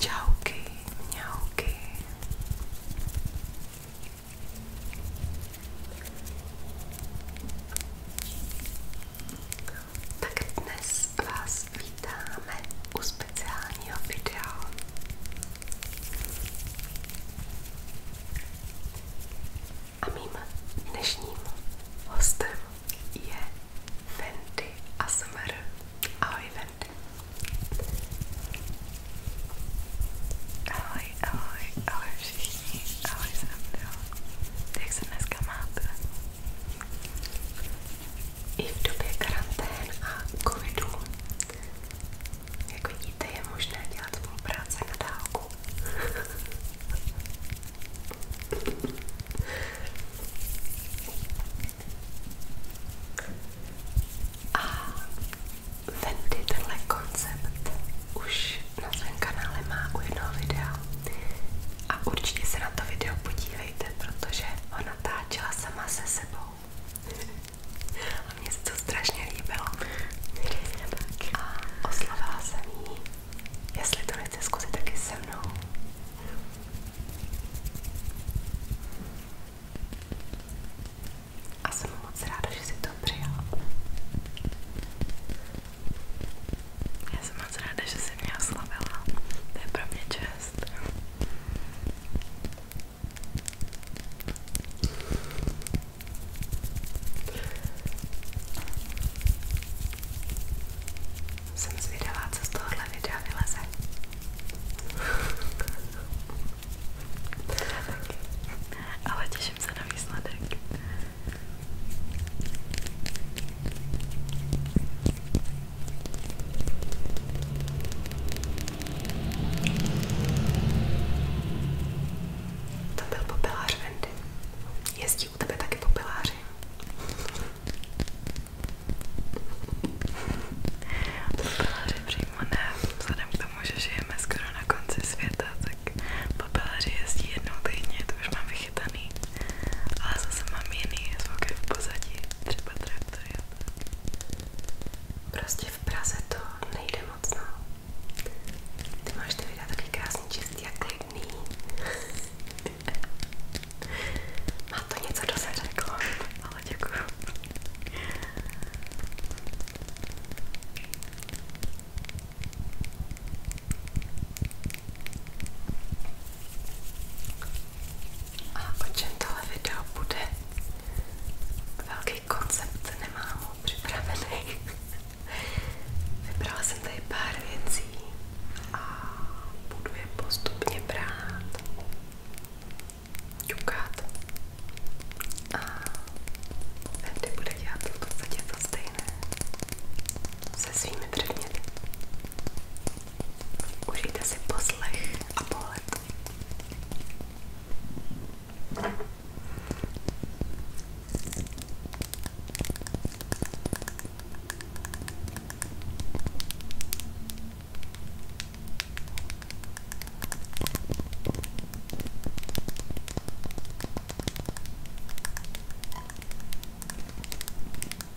Čauky, mňauky. Tak dnes vás vítáme u speciálního videa. A mým dnešním hostem je Fenty ASMR. Ahoj Fenty. Ahoj, ahoj, ahoj všichni. Ahoj Sandro. Jak se dneska máte? i v době karantén a covidu. Jak vidíte, je možné dělat svou práci na dálku. A Wendy tenhle koncept už na svém kanále má u jednoho videa a určitě se na to video podívejte, protože ho natáčela sama se sebou a mně se to strašně líbilo. A oslavila jsem jí, jestli to nechce zkusit taky se mnou. A jsem moc ráda, že si to přijal. Já jsem moc ráda, že jsi mě oslavila. To je pro mě čest. Jsem zvědavá, co z tohohle videa vyleze. Ale těším se na výsledek. To byl popelář Wendy. Jezdí u tebe taky popeláři. Popeláři přímo ne. Vzhledem k tomu, že žijeme skoro na konci světa, tak popeláři jezdí jednou týdně, to už mám vychytaný. Ale zase mám jiný zvuky v pozadí, třeba trap to je Prostě v Praze to nejde moc, no. Ty máš ty videa taky krásný, čistý a klidný. Má to něco do se řeklo, ale děkuju. A o čem tohle video bude? Velký koncept nemám ho připravený. Vybrala jsem tady pár věcí a budu je postupně brát, ťukat a tady bude dělat v podstatě to stejné se svými předměty. Užijte si poslech a pohled.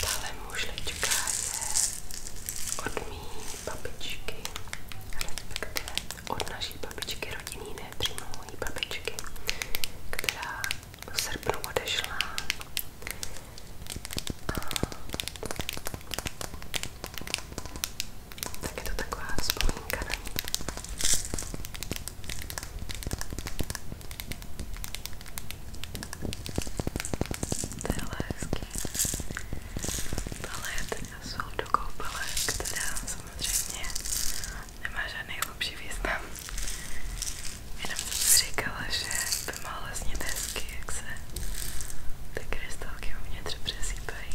Tahle mužlička je od mý babičky, respektive od naší babičky rodinný, ne přímo mojí babičky, která v srpnu odešla. A tak je to taková vzpomínka na ní. To je hezký. Tohle je teda sůl do koupele, která samozřejmě nemá žádný hlubší význam. Jenom jsem si říkala, že by mohlo znít hezky, jak se ty krystalky uvnitř přesýpají.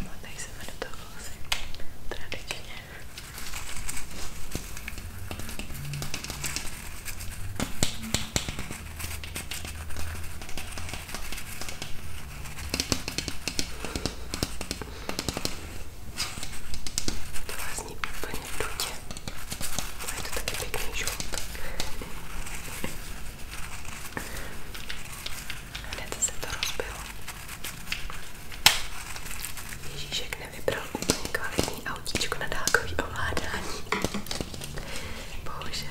Modnej no, se mi do toho vlasy, tradičně. To vás zní úplně v dutě. A je to taky pěkný žlutek. Hned se to rozbilo. Ježíšek nevybral úplně kvalitní autíčko na dálkový ovládání. Bohužel.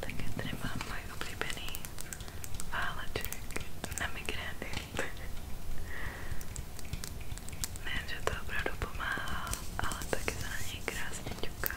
Také tady mám můj oblíbený váleček na migrény. Nejen, že to opravdu pomáhá, ale taky se na něj krásně ťuká.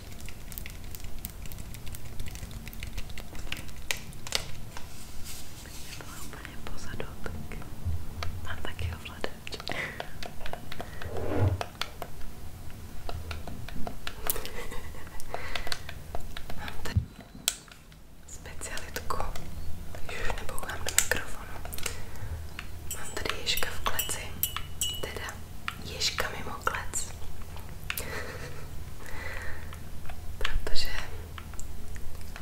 Kdyby byla úplně pozadu, tak mám taky ovladač. mám tady specialitku, když už nebouchám do mikrofonu. Mám tady ježka v kleci, teda Ježka mimo klec. Protože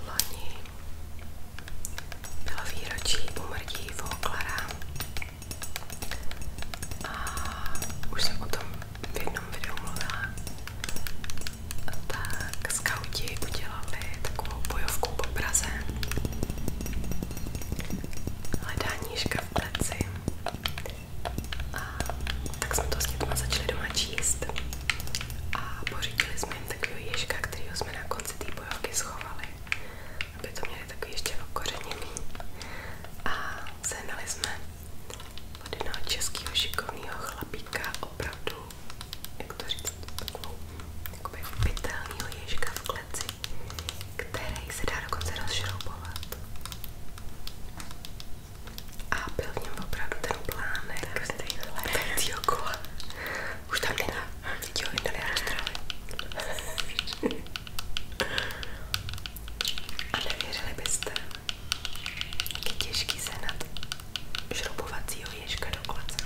loni bylo výročí umrtí Voglara a už jsem o tom v jednom videu mluvila. Tak skauti udělali takovou bojovku po Praze. Hledání ška v kleci. A tak jsme to s dětma začali doma číst a pořídili jsme jim takového ježka, kterého jsme na konci té bojovky schovali, aby to měli takový ještě okořeněný. A sehnali jsme od jednoho českého šikovného chlapíka opravdu, jak to říct, takovou jakoby pitelnýho ježka v kleci, který se dá dokonce rozšroubovat. A byl v něm opravdu ten plánek letajícího Už tam není. Teď ho vyndali a roztrhali. A nevěřili byste, jak je těžký sehnat šroubovacího ježka do kolece.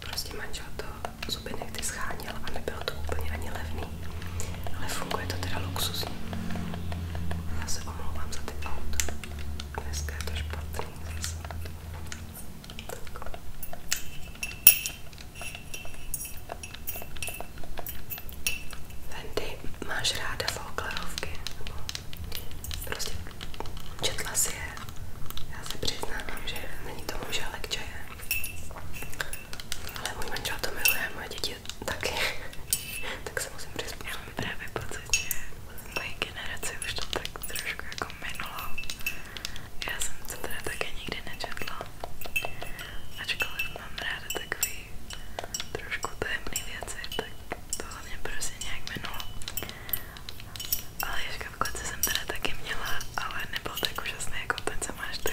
Prostě manžel to zuby nechty scháněl a nebylo to úplně ani levný. Ale funguje to teda luxusně. Já se omlouvám za ty auta. Dneska je to špatný zase. Tak. Wendy, máš ráda folklerovky? Prostě četla si je. Já se přiznávám, že není to můj žálek čaje. Ale můj manžel to miluje, moje děti děti taky, tak se musím přizpůsobit. Já právě pocit, že moje generace už to tak trošku jako minulo. Já jsem se teda také nikdy nečetla, ačkoliv mám ráda takový trošku tajemný věci, tak tohle mě prostě nějak minulo. Ale Ježka v klece jsem teda taky měla, ale nebyl tak úžasný jako ten, co máš ty.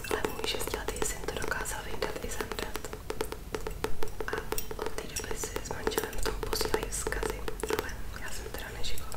ale můj šestiletý syn to dokázal vyndat i zemřet. A od té doby si s manželem v tom posílají vzkazy, ale já jsem teda nešikovná.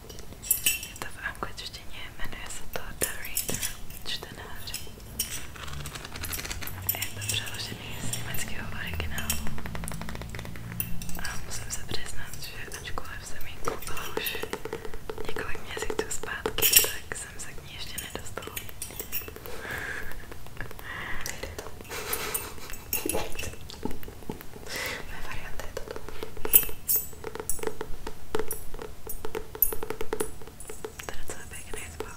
Je to v angličtině, jmenuje se to The Reader, čtenář. Je to přeložený z německého originálu. A musím se přiznat, že ačkoliv jsem ji koupila už několik měsíců zpátky, tak jsem se k ní ještě nedostala. Moje varianta je toto. That it's a big nice book.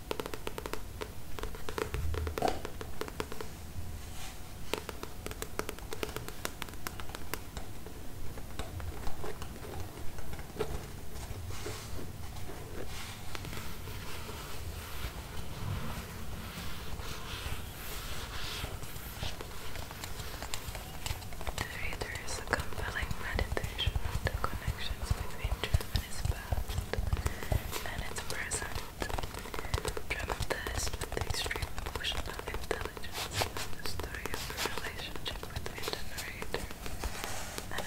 The reader is compelling meditation of the connections between truth is past and its present. Dramatized with the extreme emotional intelligence the story of the relationship between the narrator and an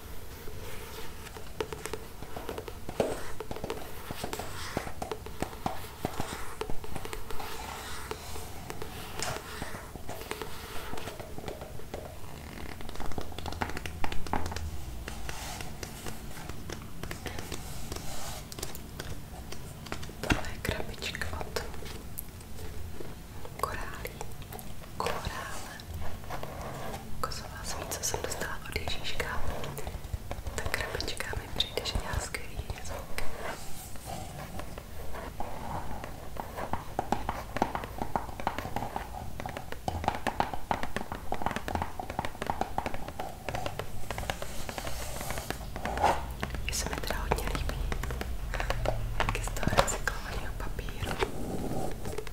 Tohle je krabička od korálí, korále, kozová smí, co jsem dostala od Ježíška, ta krabička mi přijde, že dělá skvělý zvuk. Mně se mi teda hodně líbí, jak je z toho recyklovaného papíru.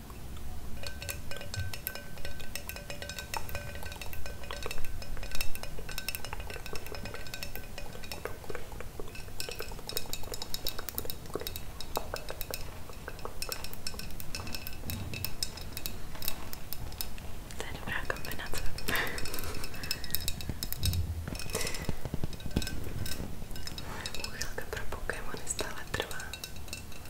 To je dobrá kombinace. Moje úchylka pro Pokémony stále trvá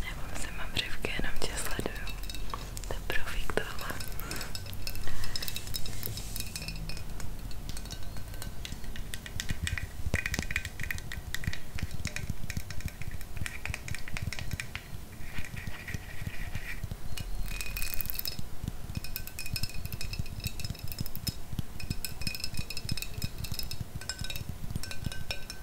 Nebo se mám břivky, jenom tě sleduju. To je profík tohle.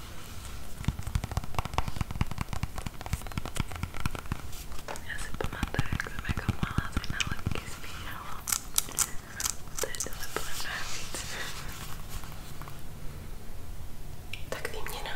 Já si pamatuju, jak jsem jako malá se na letky zbíhala. To je tohle bylo nejvíc. Tak výměna.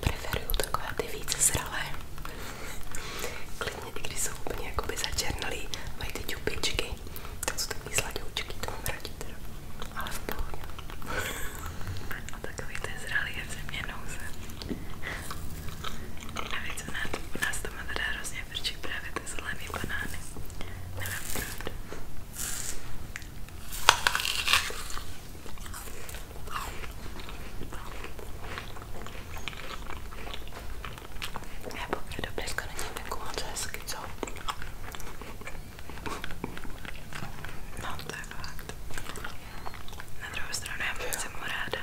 Preferuju takové ty více zralé. Klidně, i když jsou úplně jakoby začernalý, mají ty ťupičky. To jsou takový sladoučky, to mám radši teda. Ale v pohodě. A takový ten zralý je v země nouze. Navíc u nás, u nás to má teda hrozně vrčí právě ty zelený banány. Nevím proč. Já pokud je dobré skončení, tak moc hezky, co? No to je fakt. Na druhou stranu já jsem mu ráda.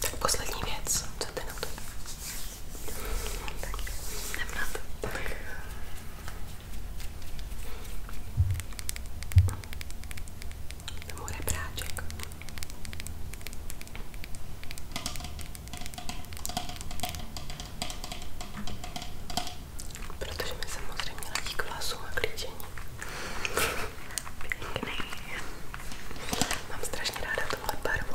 Tak poslední věc, co ty na to? Tak, jdem na to. Můj rebráček. Protože mi samozřejmě ladí k vlasům a klíčení. Pěkný. Mám strašně ráda tuhle barvu.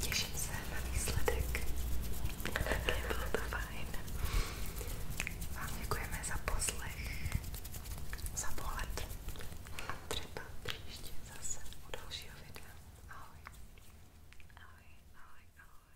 Těším se na výsledek. Bylo to fajn. Vám děkujeme za poslech, za pohled a třeba příště zase u dalšího videa. Ahoj. Ahoj, ahoj, ahoj.